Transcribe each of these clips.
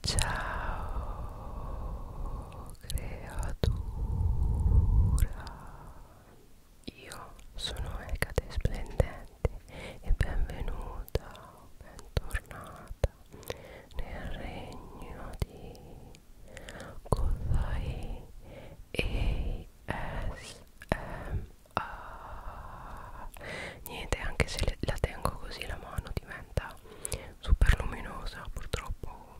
Ciao creatura, io sono Ecate Splendente e benvenuta, bentornata nel regno di Kozai ASMR. Niente, anche se la tengo così la mano diventa super luminosa purtroppo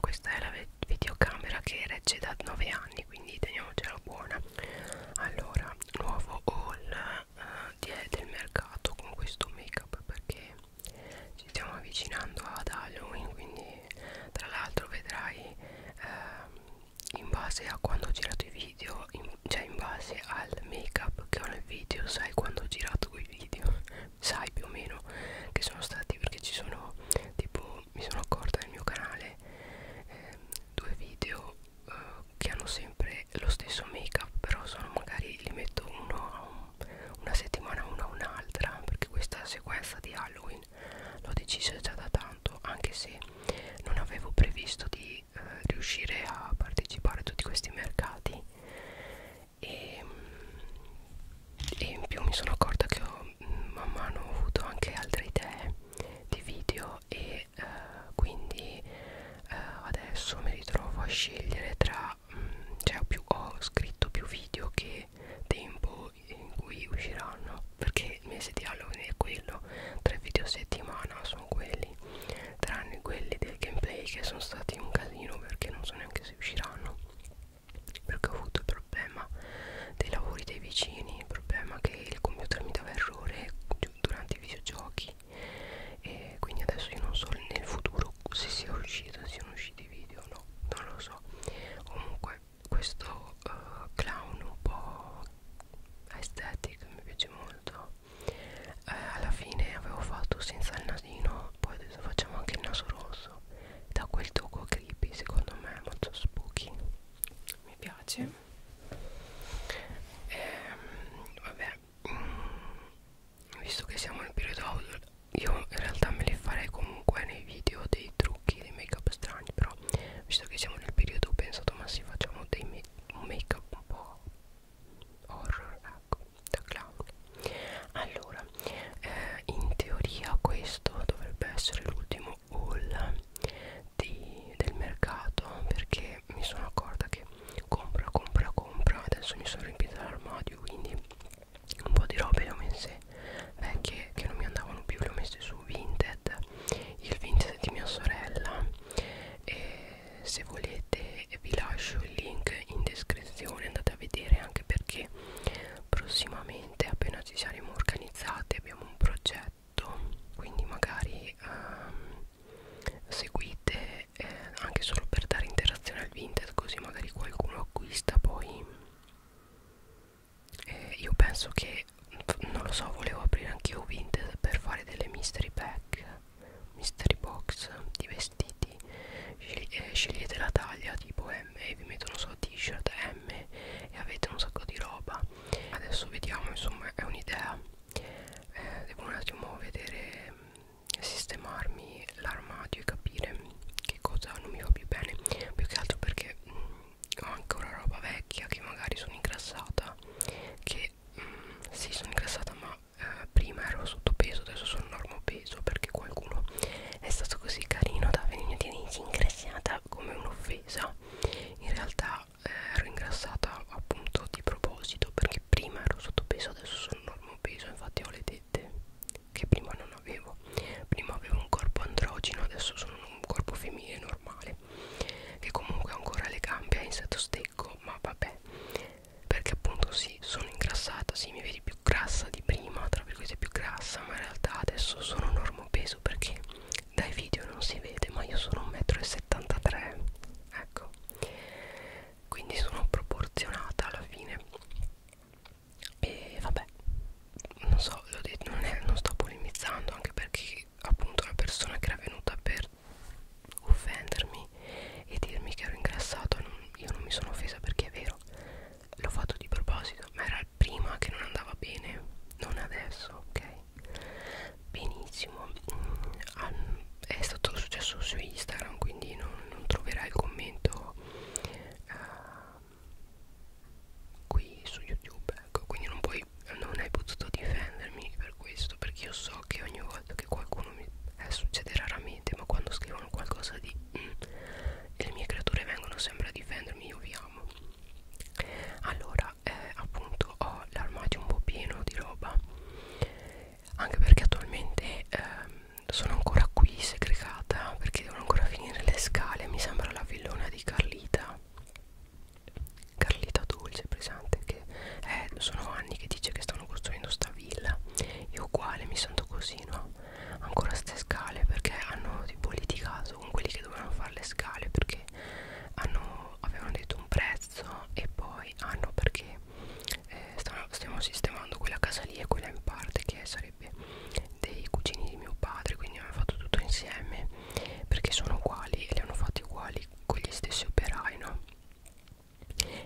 questa è la videocamera che regge da 9 anni quindi teniamocela buona allora nuovo haul uh, di, del mercato con questo make up perché ci stiamo avvicinando ad Halloween quindi tra l'altro vedrai uh, in base a quando ho girato i video in cioè in base al make up che ho nel video sai quando ho girato quei video sai più o meno che sono stati perché ci sono tipo mi sono accorta nel mio canale eh, due video eh, che hanno sempre lo stesso make up però sono magari li metto uno a un, una settimana uno a un'altra perché questa sequenza di Halloween l'ho decisa già da tanto anche se non avevo previsto di eh, riuscire a partecipare a tutti questi mercati e, e in più mi sono accorta che ho, man mano ho avuto anche altre idee di video e eh, quindi eh, adesso mi ritrovo a scegliere tra mh, mm, cioè ho, più, ho scritto più video che tempo in cui usciranno perché il mese di Halloween è quello tre video a settimana sono quelli tranne quelli del gameplay che sono stati un casino perché non so neanche se usciranno perché ho avuto il problema dei lavori dei vicini il problema che il computer mi dava errore durante i videogiochi e quindi adesso io non so nel futuro se sia uscito se siano usciti i video o no non lo so comunque questo uh, clown un po' aesthetic mi piace molto eh, alla fine avevo fatto senza il nasino poi adesso facciamo anche il naso rosso da quel tocco creepy secondo me è molto spooky mi piace ehm, vabbè mm, visto che siamo nel periodo audio io in realtà me li farei comunque nei video dei trucchi dei make up strani però visto che siamo nel periodo ho pensato ma sì facciamo dei make un make up un po' horror eh sacco da clown allora eh, in teoria questo dovrebbe essere l'ultimo haul di, del mercato perché mi sono accorta che compra compra compra adesso mi sono riempita l'armadio quindi un po' di robe le ho messe vecchie eh, che non mi andavano più le ho messe su Vinted il Vinted di mia sorella e eh, se volete vi lascio il link in descrizione andate a vedere anche perché prossimamente appena ci saremo organizzati abbiamo un progetto quindi magari um, seguite eh, anche solo per dare interazione al vintage così magari qualcuno acquista poi eh, io penso che non lo so volevo aprire anche io vintage per fare delle mystery pack mystery box di vestiti Scegli eh, scegliete la taglia tipo M e vi mettono so t-shirt M e avete un sacco di roba adesso vediamo insomma è un'idea eh, devo un attimo vedere mm, sistemarmi l'armadio e capire che cosa non mi va più bene più che altro perché mh, mm, ho ancora roba vecchia che magari sono ingrassata che mh, mm, sì sono ingrassata ma eh, prima ero sottopeso, adesso sono normopeso perché qualcuno è stato così carino da venirti ingrassata come un'offesa. In realtà eh, ero ingrassata appunto di proposito perché prima ero sottopeso, adesso sono normopeso, infatti ho le tette che prima non avevo. Prima avevo un corpo androgeno, adesso sono un corpo femminile normale che comunque ancora le gambe in set state secco ma vabbè perché appunto sì sono ingrassata sì mi vedi più grassa di prima tra virgolette più grassa ma in realtà adesso sono normo peso perché dai video non si vede ma io sono 1,73 m ecco quindi sono proporzionata alla fine e vabbè non so l'ho detto non, è, non sto polemizzando anche perché appunto la persona che era venuta per offendermi e dirmi che ero ingrassato non, io non mi sono offesa perché è vero l'ho fatto di proposito ma era prima che non andava bene non adesso ok benissimo mm, è stato successo su Instagram quindi non, non troverai il commento uh, qui su YouTube ecco quindi non puoi non hai potuto difendermi per questo perché io so so che ogni volta che qualcuno mi eh, succede raramente ma quando scrivono qualcosa di mm, e le mie creature vengono sempre a difendermi io vi amo allora eh, appunto ho l'armadio un po' pieno di roba anche perché attualmente ehm, sono ancora qui segregata perché devono ancora finire le scale mi sembra la villona di Carlita Carlita Dolce presente che eh, sono anni che dice che stanno costruendo sta villa io uguale mi sento così no ancora ste scale perché hanno tipo litigato con quelli che dovevano fare le scale perché hanno, avevano detto un prezzo e poi hanno ah perché eh, stanno, stiamo sistemando quella casa lì e quella in parte che sarebbe dei cugini di mio padre quindi hanno fatto tutto insieme perché sono uguali e li hanno fatti uguali con gli stessi operai no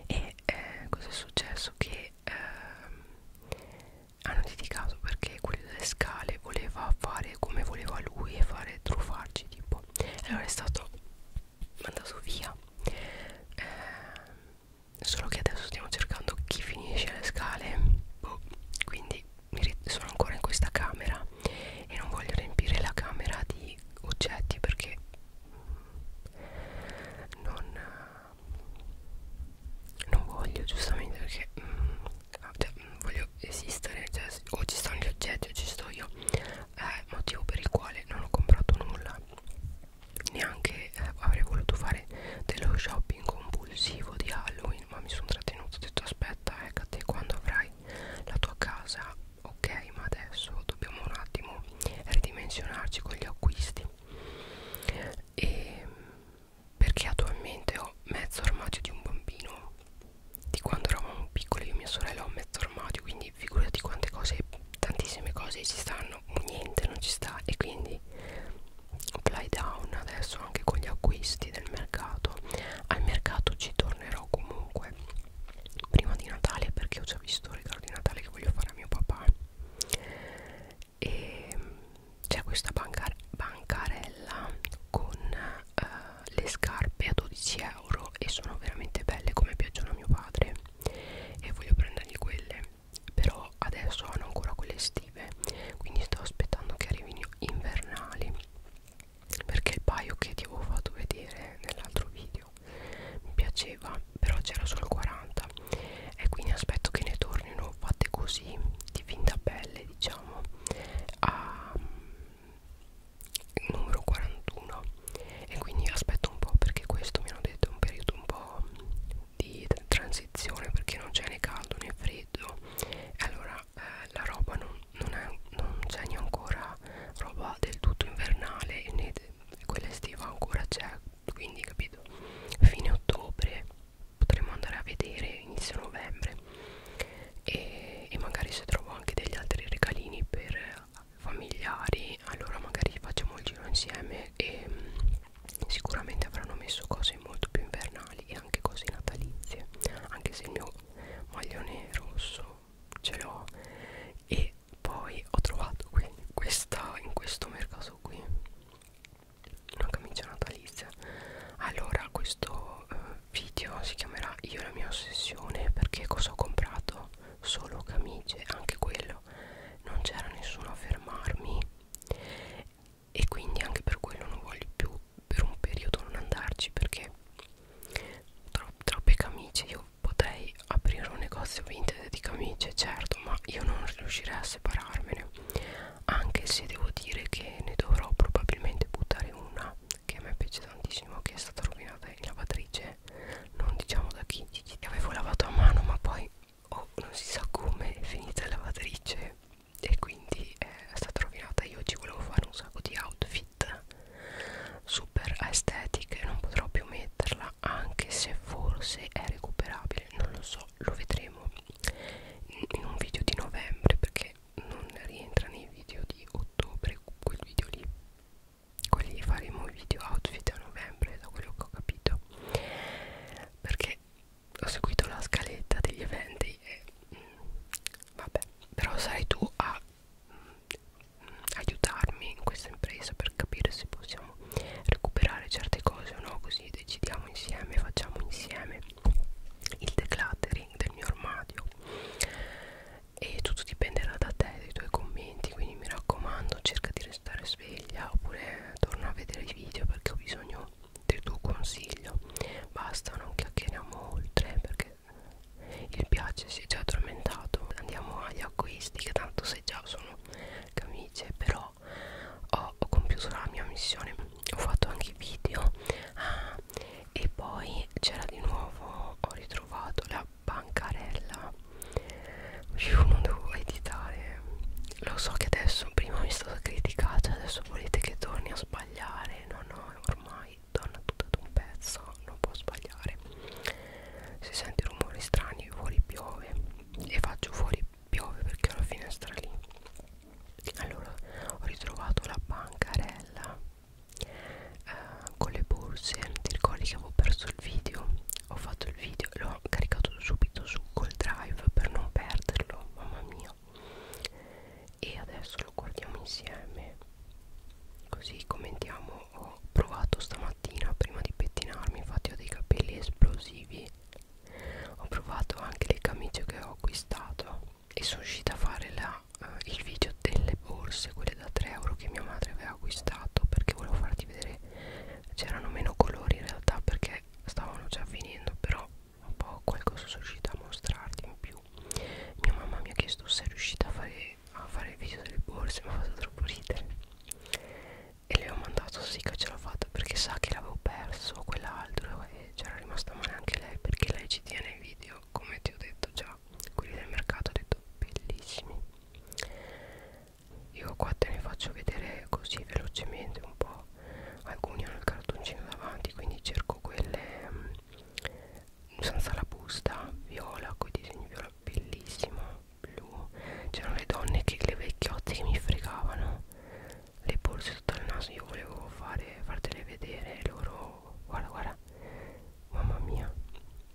e eh, cosa è successo che ehm, hanno dedicato perché quello delle scale voleva fare come voleva lui e fare truffarci tipo allora è stato mandato via eh, solo che adesso stiamo cercando chi finisce le scale boh, quindi mi sono ancora in questa camera e non voglio riempire la camera di oggetti perché mm, non, non voglio giustamente perché mm, ah, cioè, mm, voglio esistere cioè, o ci stanno gli oggetti o ci sto io eh, motivo per il quale non ho comprato nulla neanche eh, avrei voluto fare dello shopping compulsivo di Halloween ma mi sono trattenuto ho detto aspetta ecco a te quando avrai la tua casa ok ma adesso dobbiamo un attimo ridimensionarci con gli acquisti e perché attualmente ho mezzo armadio di un bambino di quando eravamo piccoli io e mia sorella ho mezzo armadio quindi figurati quante cose tantissime cose ci stanno niente non ci sta e quindi fly down adesso anche con gli acquisti del mercato al mercato ci tornerò comunque prima di Natale perché ho già visto il regalo di Natale che voglio fare a mio papà e mm, c'è questa bancar bancarella con uh, le scarpe a 12 euro e sono veramente belle come piacciono a mio padre e voglio prendergli quelle però adesso hanno ancora quelle estive quindi sto aspettando che arrivino invernali perché il paio che ti avevo fatto vedere nell'altro video mi piaceva però c'era solo il 40 e quindi aspetto che ne tornino fatte così di finta pelle diciamo a mm, numero 41 e quindi aspetto un po' perché questo mi hanno detto è un periodo un po' di transizione perché non c'è né caldo né freddo e allora eh, la roba non non c'è neanche ancora roba del tutto invernale né quella estiva ancora c'è quindi capito fine ottobre potremo andare a vedere inizio novembre e, e magari se trovo anche degli altri regalini per familiari allora magari facciamo il giro insieme e mm, sicuramente avranno messo cose molto più invernali e anche cose natalizie anche se il mio maglione rosso ce l'ho e poi ho trovato qui questa in questo mercato qui una camicia natalizia allora questo eh, video si chiamerà io e la mia ossessione perché cosa ho comprato solo camicie anche quello non c'era nessuno a fermarmi e quindi anche per quello non voglio più per un periodo non andarci perché Tro troppe camicie io potrei aprire un negozio vintage di camicie certo ma io non riuscirei a separarmene anche se devo dire che ne dovrò probabilmente buttare una che a me piace tantissimo che è stata rovinata in lavatrice non diciamo da chi avevo lavato a mano ma poi oh, non si sa come è finita la lavatrice e quindi è stata rovinata io ci volevo fare un sacco di outfit matte super estetica e non potrò più metterla anche se forse è recuperabile non lo so lo vedremo in un video di novembre perché non rientra nei video di ottobre quel video lì quelli faremo video outfit a novembre da quello che ho capito perché ho seguito la scaletta degli eventi e mm, vabbè però sarai tu a aiutarmi in questa impresa per capire se possiamo recuperare certe cose o no così decidiamo insieme facciamo insieme il decluttering del mio armadio e tutto dipenderà da te dai tuoi commenti quindi mi raccomando cerca di restare sveglia oppure torna a vedere i video perché ho bisogno del tuo consiglio basta non chiacchieriamo oltre perché il piace si è già addormentato andiamo agli acquisti che tanto se già sono camicie però ho, ho compiuto la mia missione ho fatto anche i video ah, e poi c'era di nuovo ho ritrovato la bancarella io non devo editare lo so che adesso prima mi è stata criticata adesso volete che torni a sbagliare no no ormai donna tutta ad un pezzo non può sbagliare si sente rumori strani fuori piove e faccio fuori piove perché ho la finestra lì allora ho ritrovato la bancarella eh, con le borse ti ricordi che avevo perso il video ho fatto il video l'ho caricato subito su col drive per non perderlo mamma mia e adesso lo guardiamo insieme così commentiamo ho provato stamattina prima di pettinarmi infatti ho dei capelli esplosivi ho provato anche le camicie che ho acquistato e sono riuscita a fare la, uh, il video delle borse quelle da 3 euro che mia madre aveva acquistato perché volevo farti vedere c'erano meno colori in realtà perché stavano già finendo però un po' qualcosa sono riuscita a mostrarti in più mia mamma mi ha chiesto se è riuscita a fare, a fare il video delle borse mi ha fatto troppo ridere e le ho mandato sì che ce l'ho fatta perché sa che l'avevo perso quell'altro e c'era rimasta male anche lei perché lei ci tiene i video come ti ho detto già quelli del mercato ho detto bellissimi io qua te ne faccio vedere così velocemente un po' alcuni hanno il cartoncino davanti quindi cerco quelle senza la busta viola con i disegni viola bellissima blu c'erano le donne che le vecchiotte che mi fregavano le borse sotto il naso io volevo fare, fartele vedere loro guarda guarda mamma mia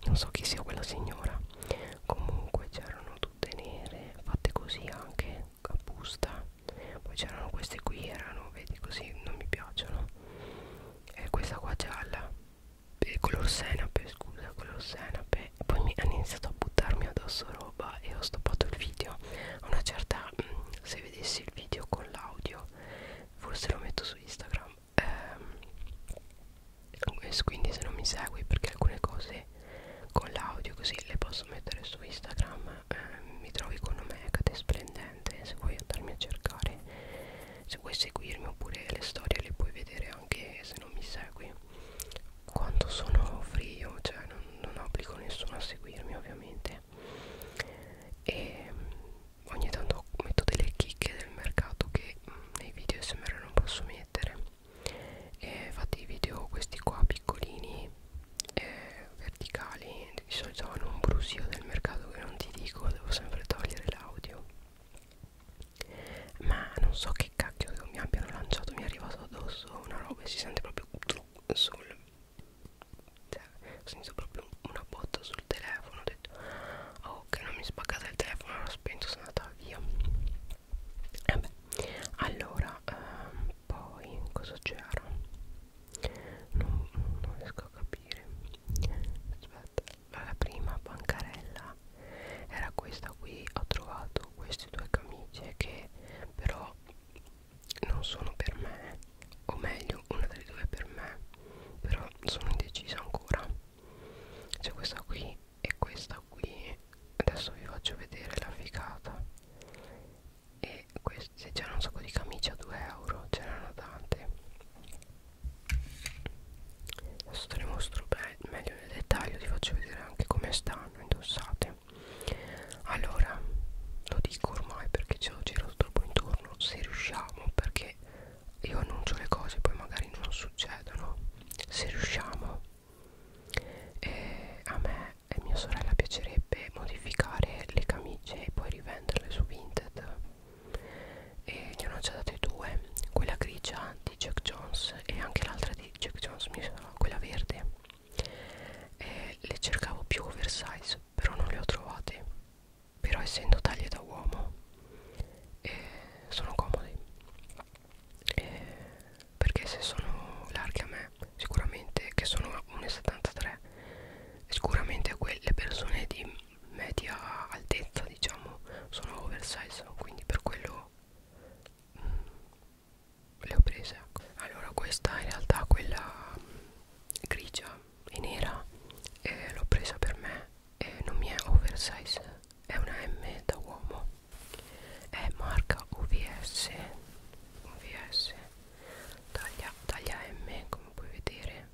non so chi sia quella signora comunque c'erano tutte nere fatte così anche a busta poi c'erano queste qui erano vedi così non mi piacciono eh, questa qua gialla eh, color senape scusa color senape e poi mi hanno iniziato a buttarmi addosso roba e ho stoppato il video a una certa mh, mm, se vedessi il video con l'audio forse lo metto su instagram ehm, quindi se non mi segui perché alcune cose con l'audio così le posso mettere su instagram eh, mi trovi con me cade splendente divertente se vuoi andarmi a cercare se vuoi seguirmi oppure le storie le puoi vedere anche se non mi segui quanto sono free io cioè non, non obbligo nessuno a seguirmi ovviamente e mm, ogni tanto metto delle chicche del mercato che mm, nei video smr non posso mettere e fate i video questi qua piccolini eh, verticali niente di solito hanno un brusio del mercato che non ti dico devo sempre togliere l'audio ma non so che cacchio che mi abbiano lanciato mi è arrivato addosso una roba e si sente proprio sul cioè, ho sentito proprio una botta sul telefono ho detto oh che non mi spaccate il telefono l'ho spento sono andata via e eh beh allora ehm, poi cosa c'era non, non riesco a capire capire aspetta la prima bancarella era questa qui ho trovato queste due camicie che però non sono per me o meglio una delle due è per me però sono indecisa ancora c'è questa qui e questa qui adesso vi faccio vedere la figata e che queste c'erano un sacco di camicie a 2 euro c'erano tante adesso te le mostro meglio nel dettaglio ti faccio vedere anche come stanno indossate allora lo dico ormai perché ce lo giro troppo intorno se riusciamo perché io annuncio le cose poi magari non succedono se riusciamo eh, a me e mia sorella piacerebbe modificare le camicie e poi rivenderle su Vinted e gliene ho già date due quella grigia di Jack Jones e anche l'altra di Jack Jones quella verde e le cercavo più oversize però non le ho trovate però essendo taglie da uomo eh, sono comode eh, perché se sono larghe a me sicuramente che sono 1,73 sicuramente quelle persone di media altezza diciamo sono oversize quindi per quello mh, mm, le ho prese ecco. allora questa in realtà quella mm, grigia e nera eh, l'ho presa per me e eh, non mi è oversize è una M da uomo è marca OVS OVS taglia, taglia M come puoi vedere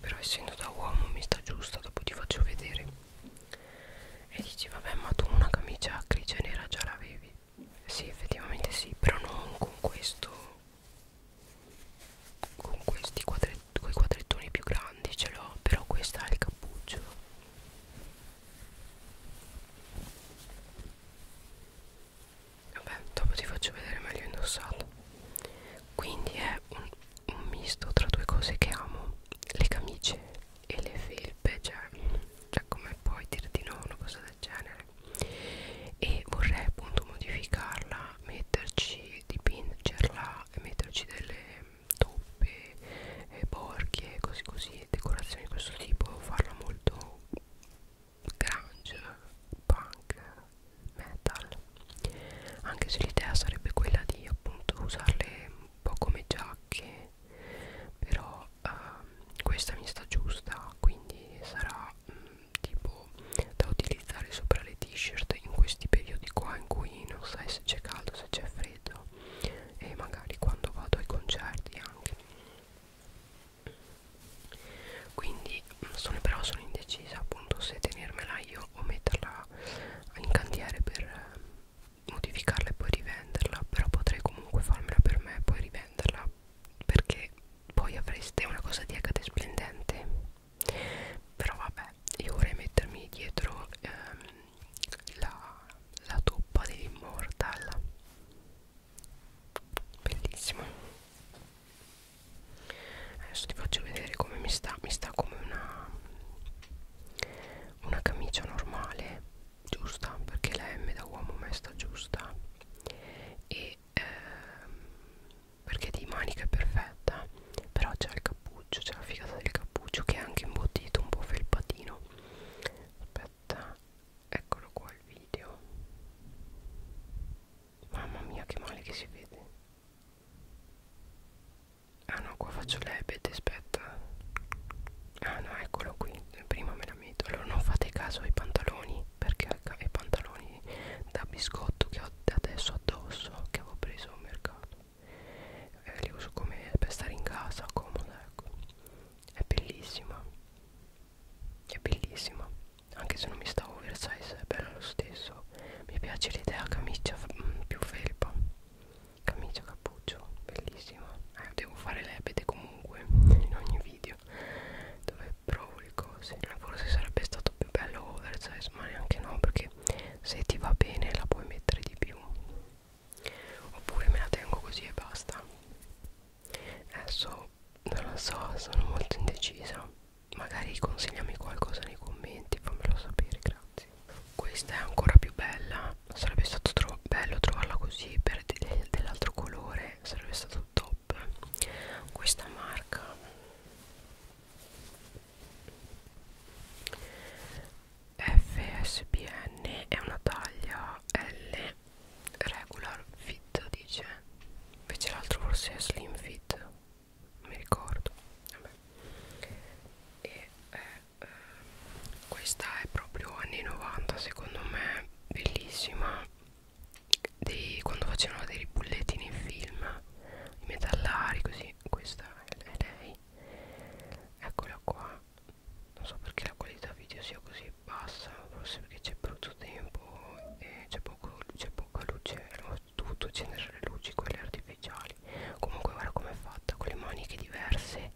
però essendo da uomo mi sta giusta, dopo ti faccio vedere. E dici, vabbè, ma tu una camicia grigia e nera già l'avevi. Sì, effettivamente sì, però non con questo. Con questi quadrettoni quei quadrettoni più grandi ce l'ho, però questa ha il cappuccio vabbè dopo ti faccio vedere meglio indossato quindi è un, un misto tra due cose che amo le camicie e le felpe cioè, cioè come puoi dire di no una cosa del genere e vorrei appunto modificarla metterci dipingerla e metterci delle toppe e eh, borchie così così decorazioni di questo tipo farla molto grunge, punk, metal anche se l'idea sarebbe quella di appunto usarle un po' come giacche però uh, questa mi sta giusta quindi sarà mh, mm, tipo da utilizzare sopra le t-shirt in questi periodi qua in cui non sai se c'è caldo se c'è freddo e magari quando vado ai concerti anche quindi mm, sono, però sono indecisa appunto se tenermela io o metterla in cantiere per eh, modificarla e poi rivenderla però potrei comunque farmela per me e poi rivenderla perché poi avreste una cosa di HD splendente però vabbè io vorrei mettermi dietro ehm, la, la toppa dell'immortal bellissimo adesso ti faccio vedere come mi sta mi sta come una una camicia normale giusta perché la M da uomo me sta giusta e ehm, perché di manica è perfetta però c'è il cappuccio c'è la figata del cappuccio che è anche imbottito un po' felpatino aspetta eccolo qua il video Mamma mia che male che si vede Ah no qua faccio l'ebete aspetta Ah no eccolo qui Prima me la metto Allora non fate caso ai pantaloni Perché i pantaloni da biscotto che ho adesso addosso Che avevo preso al mercato eh, Li uso come per stare in casa comoda ecco È bellissima È bellissima anche se non mi sta oversize è bello lo stesso mi piace l'idea camicia mm, più felpa camicia cappuccio bellissima eh, devo fare l'ebete comunque in ogni video dove provo le cose forse sarebbe stato più bello oversize ma neanche no perché se ti va bene la puoi mettere di più oppure me la tengo così e basta adesso non lo so sono molto indecisa magari consigliami qualcosa nei commenti fammelo sapere grazie questa è ancora più bella sarebbe stato tro bello trovarla così per de dell'altro colore sarebbe stato top questa marca FSBN è una taglia L regular fit dice invece l'altro forse è slim fit non mi ricordo Vabbè. e eh, eh, questa è proprio anni 90 secondo me bellissima dei, quando facevano dei bulletti nei film i metallari così questa è lei eccola qua non so perché la qualità video sia così e passa forse perché c'è brutto tempo e c'è poca luce hanno dovuto accendere le luci quelle artificiali comunque guarda com'è fatta con le maniche diverse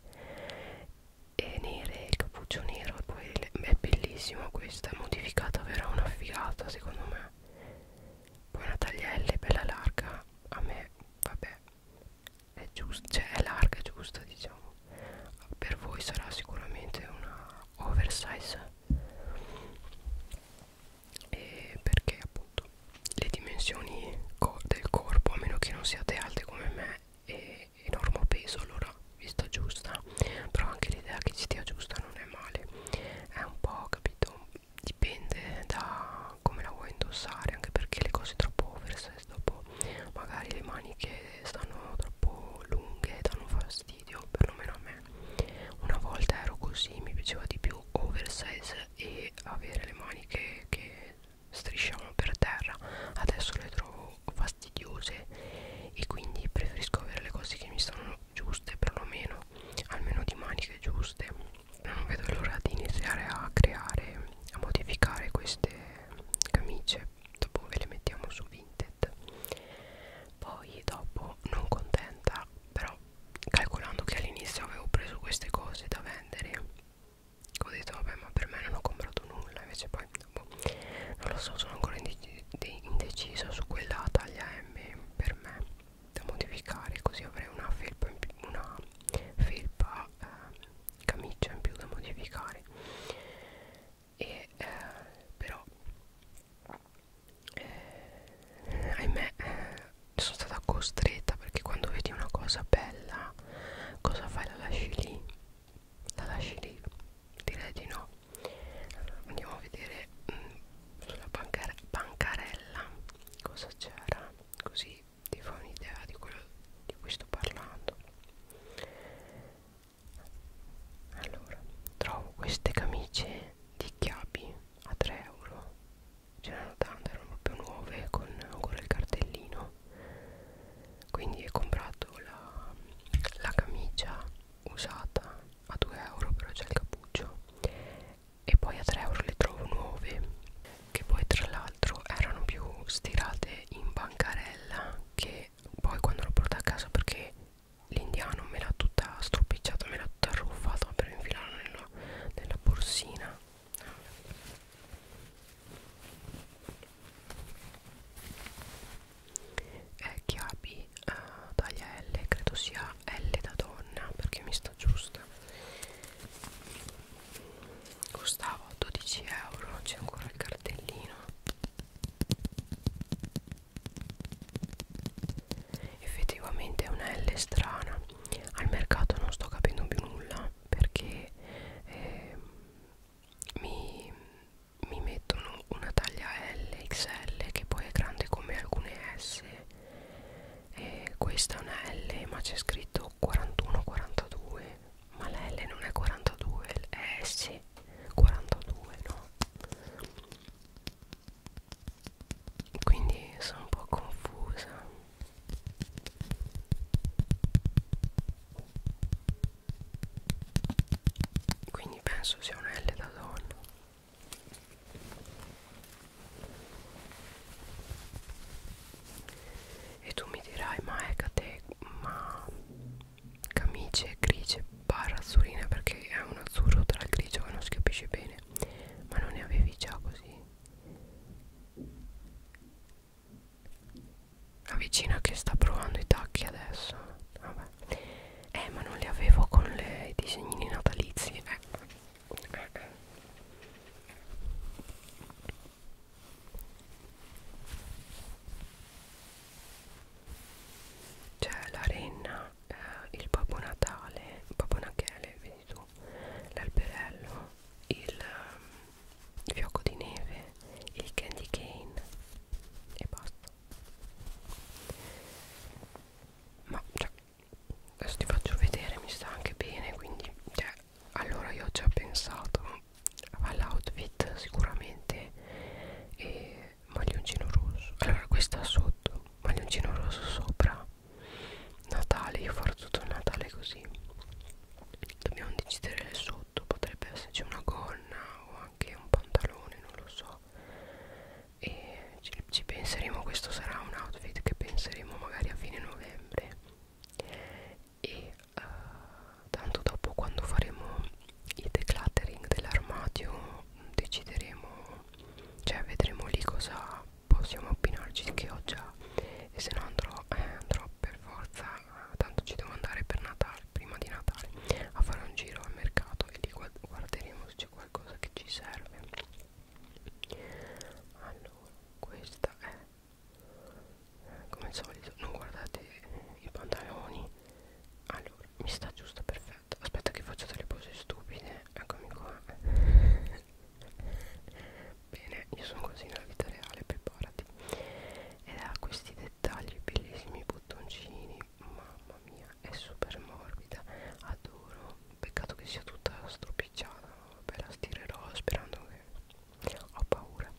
e nere il cappuccio nero poi è bellissima questa è modificata verrà una figata secondo me poi una taglielle bella larga a me vabbè è giusta cioè è larga giusta diciamo per voi sarà sicuramente una oversize e perché appunto le dimensioni co del corpo a meno che non siate alte come me e enorme peso allora vi sta giusta però anche l'idea che ci stia giusta non è male è un po' capito dipende da come la vuoi indossare anche perché le cose troppo oversize dopo magari le maniche stanno troppo lunghe danno fastidio fastidio perlomeno a me una volta ero così mi piaceva di più oversize e avere le maniche che strisciamo per terra adesso le trovo fastidiose e quindi preferisco avere le cose che mi stanno giuste perlomeno almeno di maniche giuste non vedo l'ora di iniziare a creare a modificare queste camicie dopo ve le mettiamo su Vinted set poi dopo non contenta però calcolando che all'inizio avevo preso queste cose da vendere ho detto vabbè ma per me non ho comprato nulla invece poi boh, non lo so sono ancora indecisa su quella taglia M per me da modificare così avrei una felpa in più, una felpa eh, camicia in più da modificare e eh, però eh, ahimè eh, sono stata costretta perché quando vedi una cosa bella cosa fai la lasci lì la lasci lì direi di no allora, andiamo a vedere mh, mm, sulla bancar bancarella cosa c'era così ti fa un'idea di quello di cui sto parlando allora trovo queste camicie di chiapi a 3 euro ce n'erano tante erano proprio nuove con ancora il cartellino quindi ho comprato la, la camicia usata a 2 euro però c'è il cappuccio e poi a 3 euro le trovo nuove che poi tra l'altro erano più stirate in bancarella che poi quando l'ho portata a casa perché l'indiano me l'ha tutta stropicciata me l'ha tutta arruffata per infilarla nella, nella borsina è chiavi uh, taglia L credo sia L da donna perché mi sta giusta costava 12 euro c'è ancora il cartellino effettivamente è una L strana al mercato non sto capendo più nulla perché eh, mi, mi mettono una taglia L XL che poi è grande come alcune S e questa è una L ma c'è scritto 41 42 ma la L non è 42 è S e 42 no quindi sono un po' confusa quindi penso sia un L da donna e tu mi dirai ma è te ma camicie grigie barra azzurrina perché è un azzurro tra il grigio che non si capisce bene ma non ne avevi già così la vicina che sta provando i tacchi adesso vabbè eh ma non li avevo con le, i disegnini natalizi eh. Eh, eh c'è la renna, eh, il Babbo Natale, Babbo Nachele, vedi tu, l'alberello, il, ehm, il fiocco di neve, il candy cane e basta. Ma cioè, adesso ti faccio vedere, mi sta anche bene, quindi cioè, allora io ho già pensato va l'outfit sicuramente e maglioncino rosso allora questa sotto maglioncino rosso sopra Natale io farò tutto il Natale così dobbiamo decidere il sotto potrebbe esserci una gonna o anche un pantalone non lo so e ci, ci penseremo questo sarà un outfit che penseremo magari a fine novembre e uh, tanto dopo quando faremo il decluttering dell'armadio mm, decideremo cioè vedremo lì cosa possiamo abbinarci che ho già e se no andrò, eh, andrò per forza eh, tanto ci devo andare per Natale prima di Natale a fare un giro al mercato e lì guarderemo se c'è qualcosa che ci serve allora questa è come al solito non guardate i pantaloni allora mi sta giusto perfetto aspetta che faccio delle pose stupide eccomi qua bene io sono così nella vita reale preparati ed ha questi dettagli bellissimi bottoncini mamma mia è super morbida adoro peccato che sia tutta stropicciata vabbè la stirerò sperando che ho paura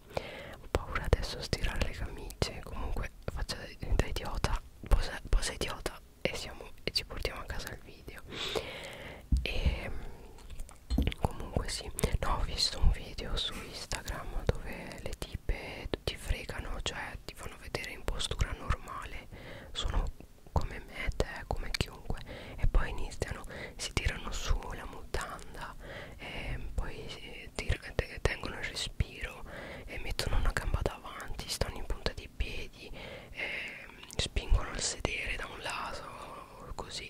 ho paura adesso a stirare le camicie comunque faccio da, da idiota posa, posa idiota e, siamo, e ci portiamo a casa il video e ehm, comunque sì no ho visto un video su Instagram dove le tipe ti fregano cioè ti fanno vedere in postura normale sono come me te come chiunque e poi iniziano si tirano su la mutanda e ehm, poi che ti, che tengono il respiro e mettono una gamba davanti, stanno in punta di piedi, e mm, spingono il sedere da un lato, così,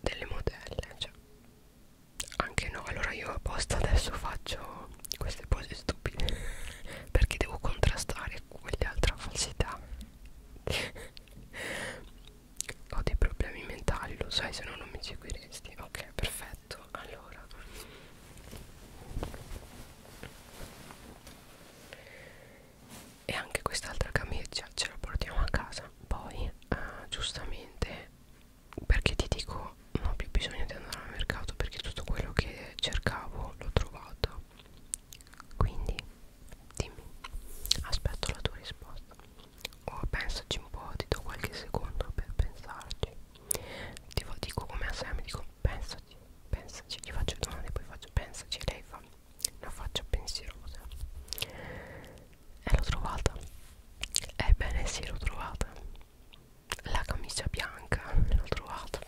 delle modelle, cioè. Anche no, allora io apposta adesso faccio queste pose stupide perché devo contrastare quell'altra falsità ho dei problemi mentali, lo sai, se no non mi seguiresti. Ok, perfetto. Allora, e anche quest'altra camicia ce la portiamo a casa. Poi, eh, giustamente, perché ti dico, non ho più bisogno di andare al mercato perché tutto quello che cercavo l'ho trovato. Quindi, dimmi, aspetto la tua risposta o oh, pensaci un po', ti do qualche secondo per pensarci ti dico come a Sam, dico pensaci, pensaci, gli faccio domande poi faccio pensaci e lei fa una faccia pensierosa e l'ho trovata ebbene sì l'ho trovata la camicia bianca l'ho trovata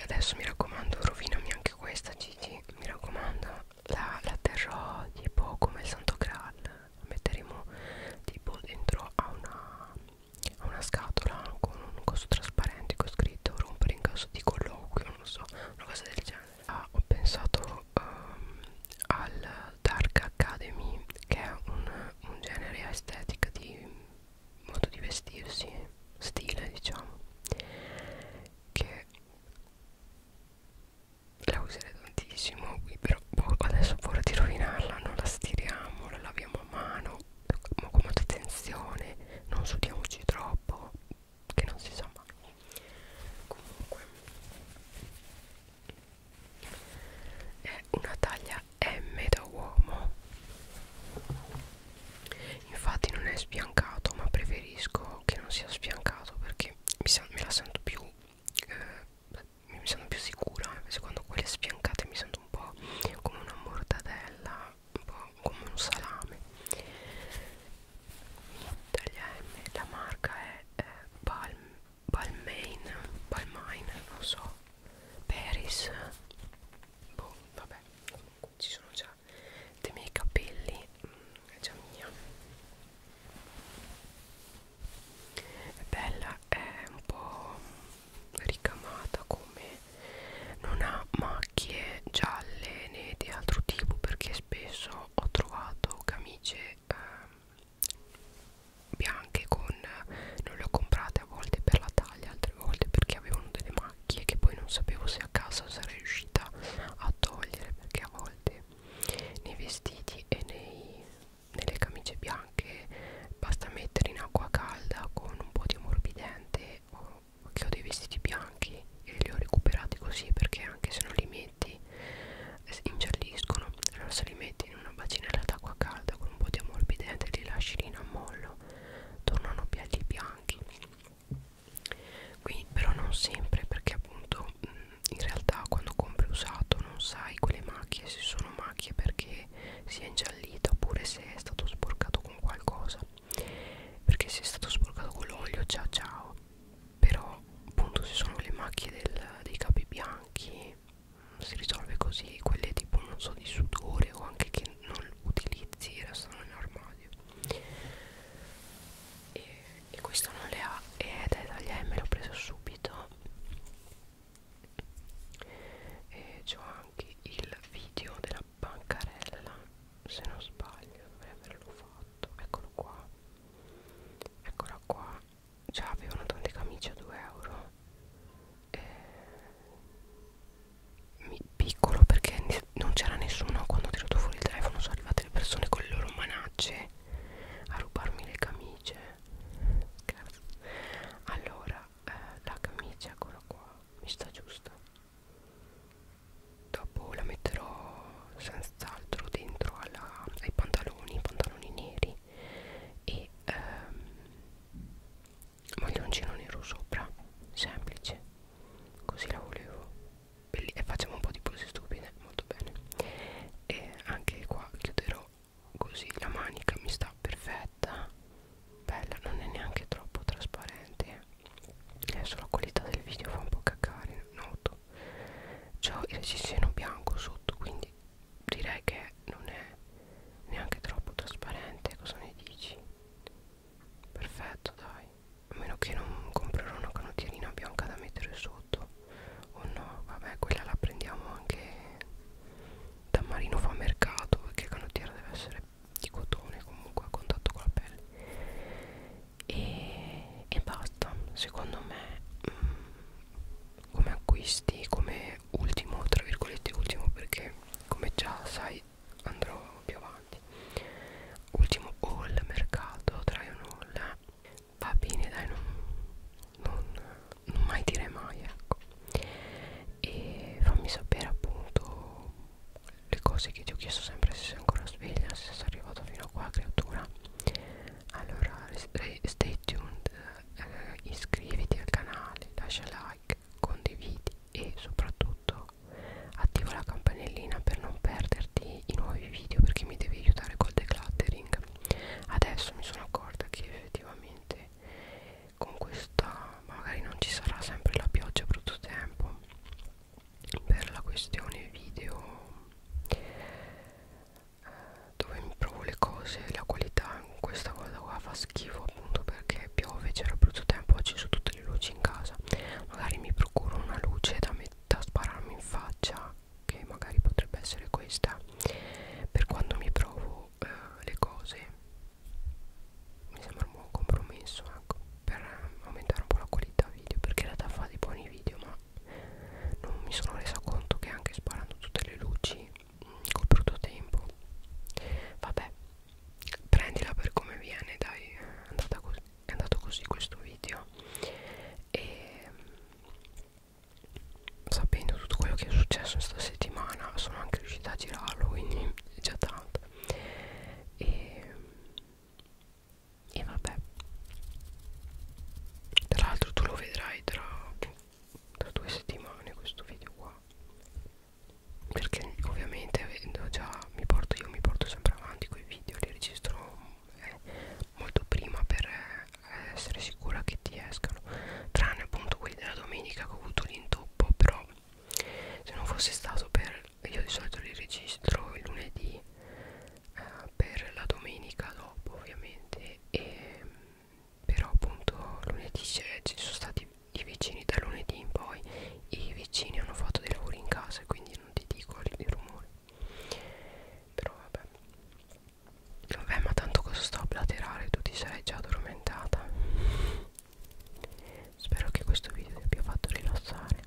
adesso mi raccomando rovinami anche questa Gigi mi raccomando la, la terrò tipo come il santo graal la metteremo tipo dentro a una, a una scatola con un coso trasparente con scritto rompere in caso di colloquio non so una cosa del genere ah, ho pensato um, al dark academy che è un, un genere estetica di modo di vestirsi stile diciamo che la userei tantissimo qui però boh, adesso ho paura di rovinarla non la stiriamo la laviamo a mano ma con molta attenzione non sudiamoci troppo che non si sa mai comunque è una taglia M da uomo infatti non è sbiancato ma preferisco che non sia sbiancato perché mi me la sento più eh, mi sento più sicura invece eh. quando quelle sbiancate mi sento un po' come una mortadella un po' come un salame Italian, la marca è eh, Balm, Balmain Balmain non so Paris boh vabbè ci sono già cera dei miei capelli mm, è già mia è bella è un po' ricamata come non ha macchie gialle né di altro tipo perché spesso ho trovato camicie eh, bianche con non le ho comprate a volte per la taglia altre volte perché avevano delle macchie macchie che poi non sapevo se a casa sarei riuscita a togliere perché a volte nei vestiti e nei, nelle camicie bianche basta mettere in acqua calda con un po' di ammorbidente o che ho dei vestiti bianchi e li ho recuperati così perché anche se non li metti ingialliscono allora se li metti in una bacinella d'acqua calda con un po' di ammorbidente li lasci lì in ammollo tornano belli bianchi quindi, però non sempre perché appunto mh, in realtà quando compri usato non sai quelle macchie se sono macchie perché si è ingiallita oppure se è stato sporcato con qualcosa perché se è stato sporcato con l'olio ciao ciao però appunto se sono le macchie del, dei capi bianchi si risolve così quelle tipo non so di sudore o anche che non utilizzi restano in armadio e, e questo non le ha ed è dagli M l'ho preso subito e c'ho anche il video della bancarella se non sbaglio dovrei averlo fatto eccolo qua eccola qua già avevano tante camicie a 2 euro e piccolo perché non c'era nessuno quando ho tirato fuori il telefono sono arrivate le persone con le loro manacce a rubarmi le camicie Scherzo. allora eh, la camicia eccola qua mi sta giusta dopo la metterò senz'altro dentro alla, ai pantaloni pantaloni neri e ehm, maglioncino nero sopra semplice così la volevo belli e facciamo un po' di pose stupide molto bene e anche qua chiuderò così la manica mi sta perfetta bella non è neanche troppo trasparente adesso eh. eh, la qualità del video fa un po' cacare noto c'ho il reggiseno bianco sotto quindi direi che non è neanche troppo trasparente cosa ne dici perfetto dai a meno che non comprerò una canottierina bianca da mettere sotto o oh no vabbè quella la prendiamo anche da marino fa mercato perché la canottiera deve essere di cotone comunque a contatto con la pelle e, e basta secondo me mh, mm, come acquisti come ultimo tra virgolette ultimo perché come già sai poi andrò più avanti ultimo haul mercato try un haul va bene dai non, non, non mai dire mai ecco e fammi sapere appunto le cose che ti ho chiesto sempre se sei ancora sveglia se sei arrivato fino a qua creatura allora stay tuned eh, iscriviti al canale lascia like condividi e soprattutto attiva la campanellina per non perderti i nuovi video perché mi devi aiutare col decluttering adesso mi sono accorta che effettivamente con questa magari non ci sarà sempre la pioggia a brutto tempo per la questione video dove mi provo le cose la qualità questa cosa qua fa schifo appunto perché piove c'era brutto tempo oggi su tutto tutte le luci in casa magari mi procuro una luce da, da spararmi in faccia che magari potrebbe essere questa per quando mi provo eh, le cose mi sembra un buon compromesso ecco, per aumentare un po' la qualità video perché in realtà fa dei buoni video ma non mi sono resa conto che anche sparando tutte le luci mm, col brutto tempo vabbè prendila per come viene dai è andata così è andato così questo video e mm, sapendo tutto quello che è successo questa settimana sono anche riuscita a girarlo quindi è già tanto e, mm, e vabbè tra l'altro tu lo vedrai tra, tra due settimane questo video qua perché ovviamente avendo già mi porto io mi porto sempre avanti quei video li registro eh, molto prima per eh, essere sicura che ti escano tranne appunto quelli della domenica che ho avuto l'intoppo però se non fosse stato per io di solito li registro il lunedì eh, per la domenica dopo ovviamente e però appunto lunedì ci sono stati i vicini da lunedì in poi i vicini hanno fatto dei lavori in casa quindi non ti dico i rumori però vabbè vabbè ma tanto cosa sto a platerare tu ti sei già addormentata spero che questo video ti abbia fatto rilassare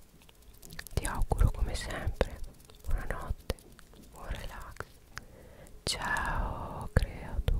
ti auguro come sempre buonanotte buon relax ciao creatura